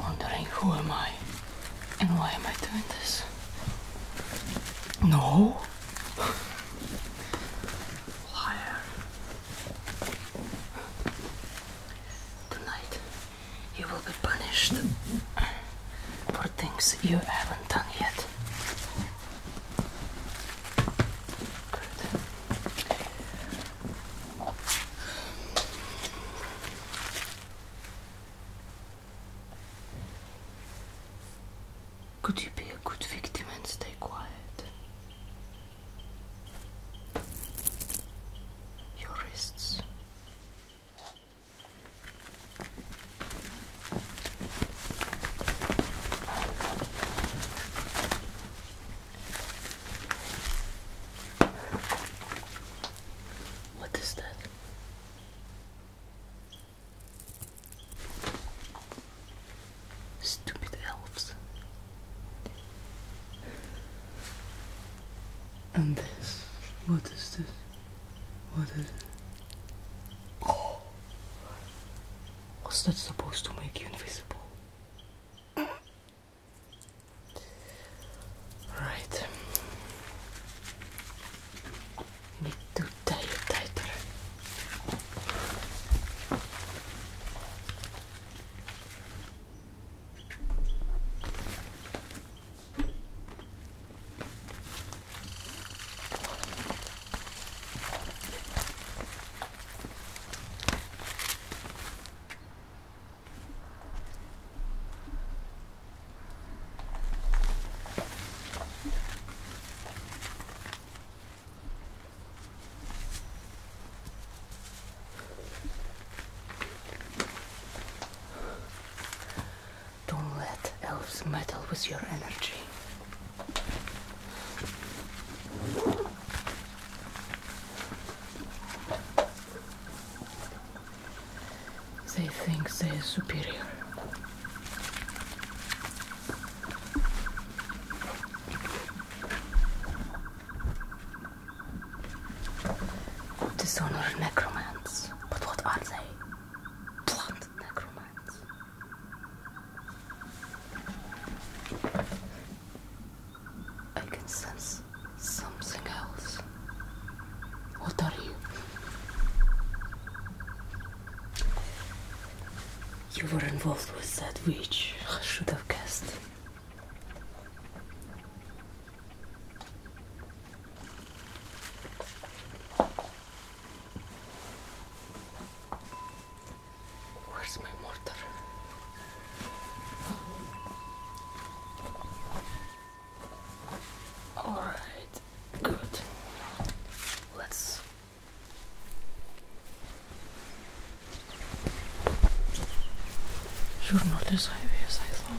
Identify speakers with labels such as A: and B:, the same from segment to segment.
A: Wondering who am I and why am I doing this? No. Liar. Tonight you will be punished for things you haven't done yet. Could you be a good victim and stay quiet? Your wrists. What is that? Stupid elves. And this. What is this? What is it? What's that supposed to make you invisible? Right. Need to tie it tighter. Don't let elves meddle with your energy. They think they're superior. Dishonor necromants. But what are they? Blunt necromants. I can sense something else. What are you? You were involved with that witch. I should have guessed. Where's my mortar? Alright, good. Let's You're not as heavy as I thought.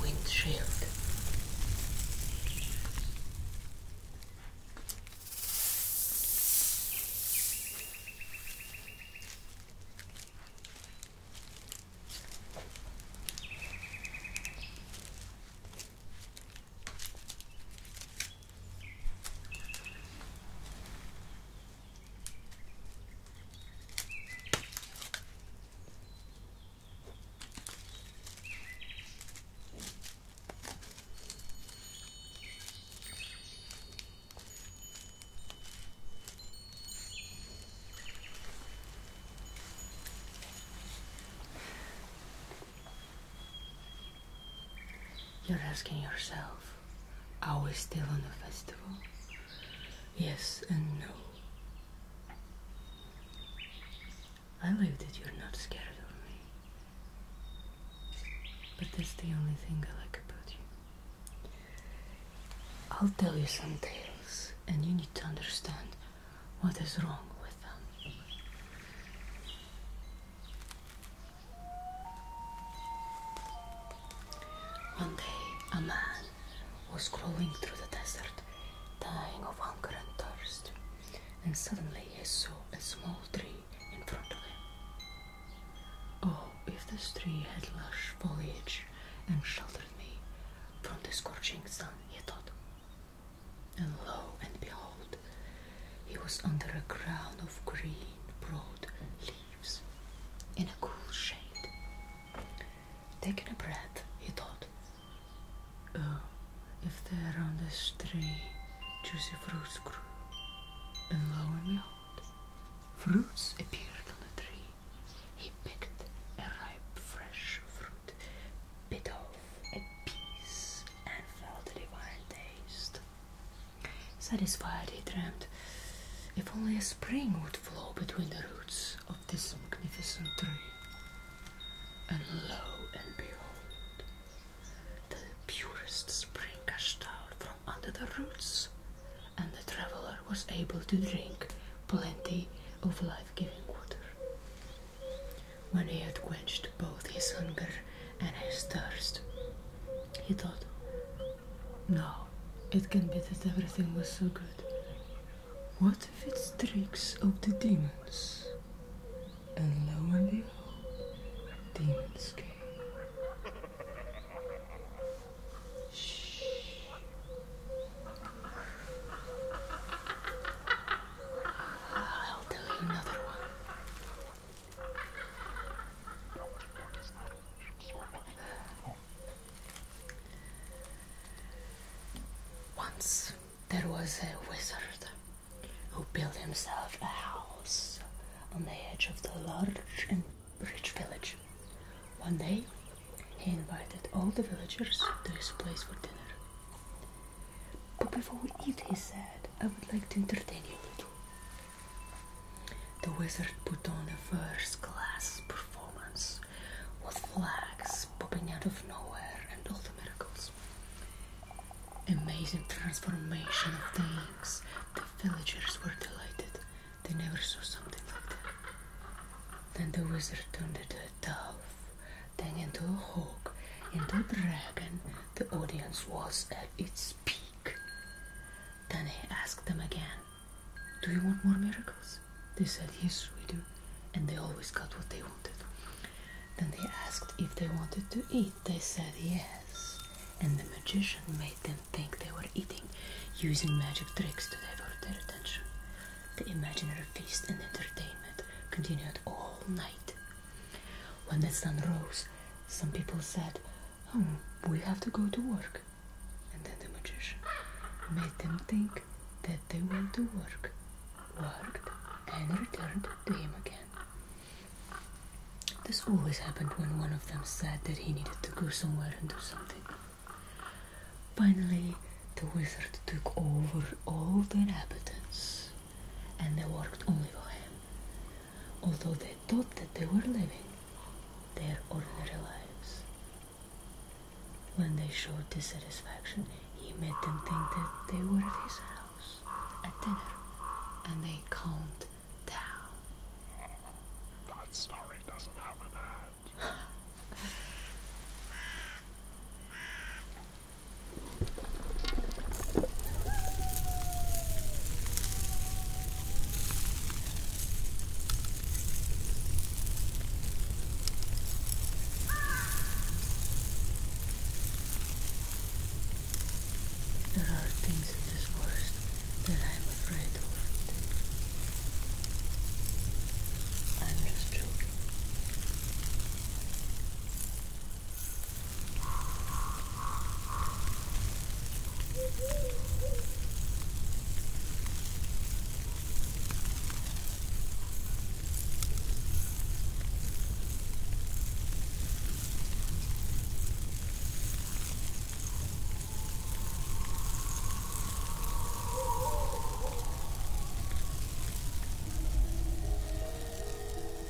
A: windshield. You're asking yourself, are we still on the festival? Yes and no. I like that you're not scared of me. But that's the only thing I like about you. I'll tell you some tales, and you need to understand what is wrong with them. One day, a man was crawling through the desert, dying of hunger and thirst, and suddenly he saw a small tree in front of him. Oh, if this tree had lush foliage and sheltered me from the scorching sun, he thought. And lo and behold, he was under a crown of green, broad leaves, in a cool shade. Taking a breath, he thought, if they're on this tree, juicy fruits grew, and lo and behold, fruits appeared on the tree. He picked a ripe, fresh fruit, bit off a piece, and felt the divine taste. Satisfied, he dreamed, if only a spring would flow between the roots of this magnificent tree. And lo and behold, the purest spring gushed out from under the roots, and the traveler was able to drink plenty of life giving water. When he had quenched both his hunger and his thirst, he thought, Now it can be that everything was so good, what if it's tricks of the demons? And lo and behold, demons came. Shh. I'll tell another one. Once there was a wizard who built himself a house on the edge of the large and rich village. One day, he invited all the villagers to his place for dinner. But before we eat, he said, I would like to entertain you a little. The wizard put on a first class performance with flags popping out of nowhere and all the miracles. Amazing transformation of things. The villagers were delighted. They never saw something like that. Then the wizard turned into a dove, then into a hawk, into a dragon. The audience was at its peak. Then he asked them again, Do you want more miracles? They said, yes, we do. And they always got what they wanted. Then they asked if they wanted to eat. They said, yes. And the magician made them think they were eating, using magic tricks to divert their attention. The imaginary feast and entertainment continued all night. When the sun rose, some people said, Oh, we have to go to work. And then the magician made them think that they went to work, worked, and returned to him again. This always happened when one of them said that he needed to go somewhere and do something. Finally, the wizard took over all the inhabitants and they worked only for him, although they thought that they were living their ordinary lives. When they showed dissatisfaction, he made them think that they were at his house at dinner, and they calmed down. That story doesn't have an end. There are things in this forest that I'm afraid of. I'm just joking.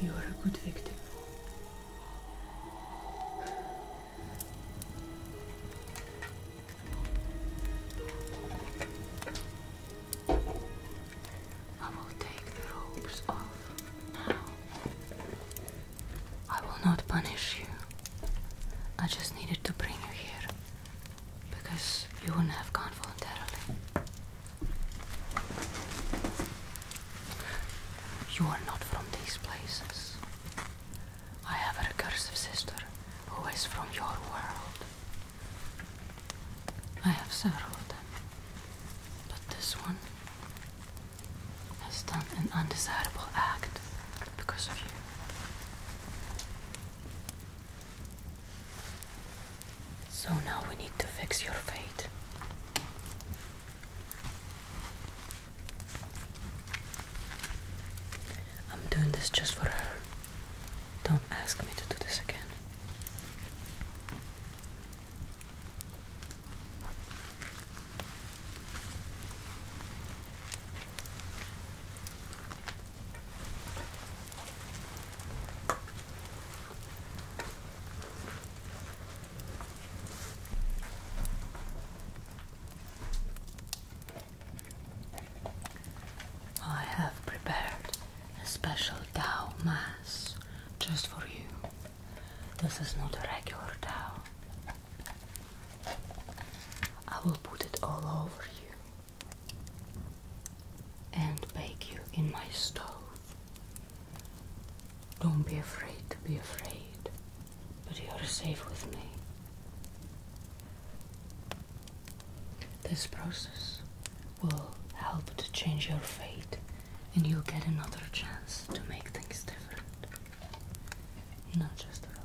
A: You are a good victim. I will take the ropes off now. I will not punish you. I just needed to bring you here because you wouldn't have gone voluntarily. You are not from these places. I have a recursive sister who is from your world. I have several of them, but this one has done an undesirable act because of you. So now we need to fix your fate. I'm doing this just for her. Don't ask me to do this again. I have prepared a special Tao Mass just for you. This is not a regular Tao. I will put it all over you and bake you in my stove. Don't be afraid to be afraid, but you are safe with me. This process will help to change your fate, and you'll get another chance to make things different. Not just to relax.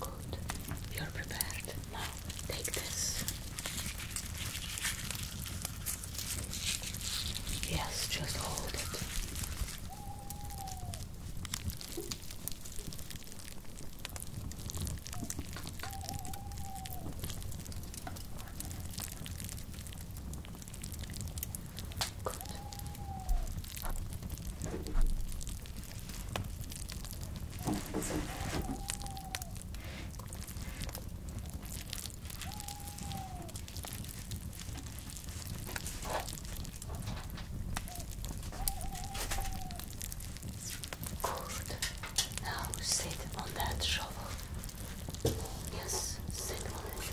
A: Good. You're prepared. Now take this. Yes, just hold it. Good. Good. Now sit on that shovel. Yes, sit on it.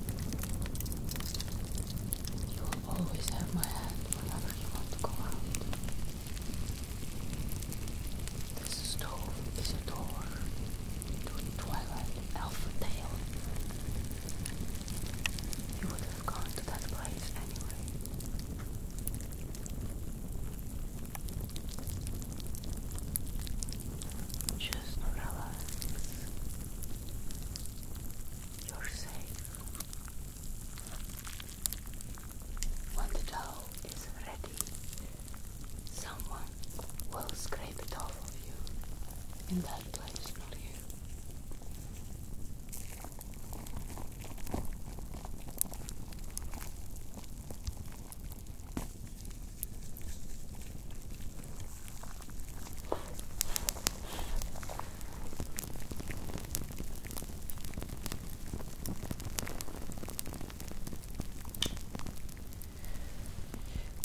A: You will always have my hand whenever you want to go out. This stove is a door to twilight elf tale. You would have gone to that place anyway. Just relax. You're safe. When the dough is ready, someone will scrape it off of you in that place, not you.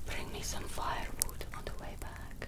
A: Bring me some firewood on the way back.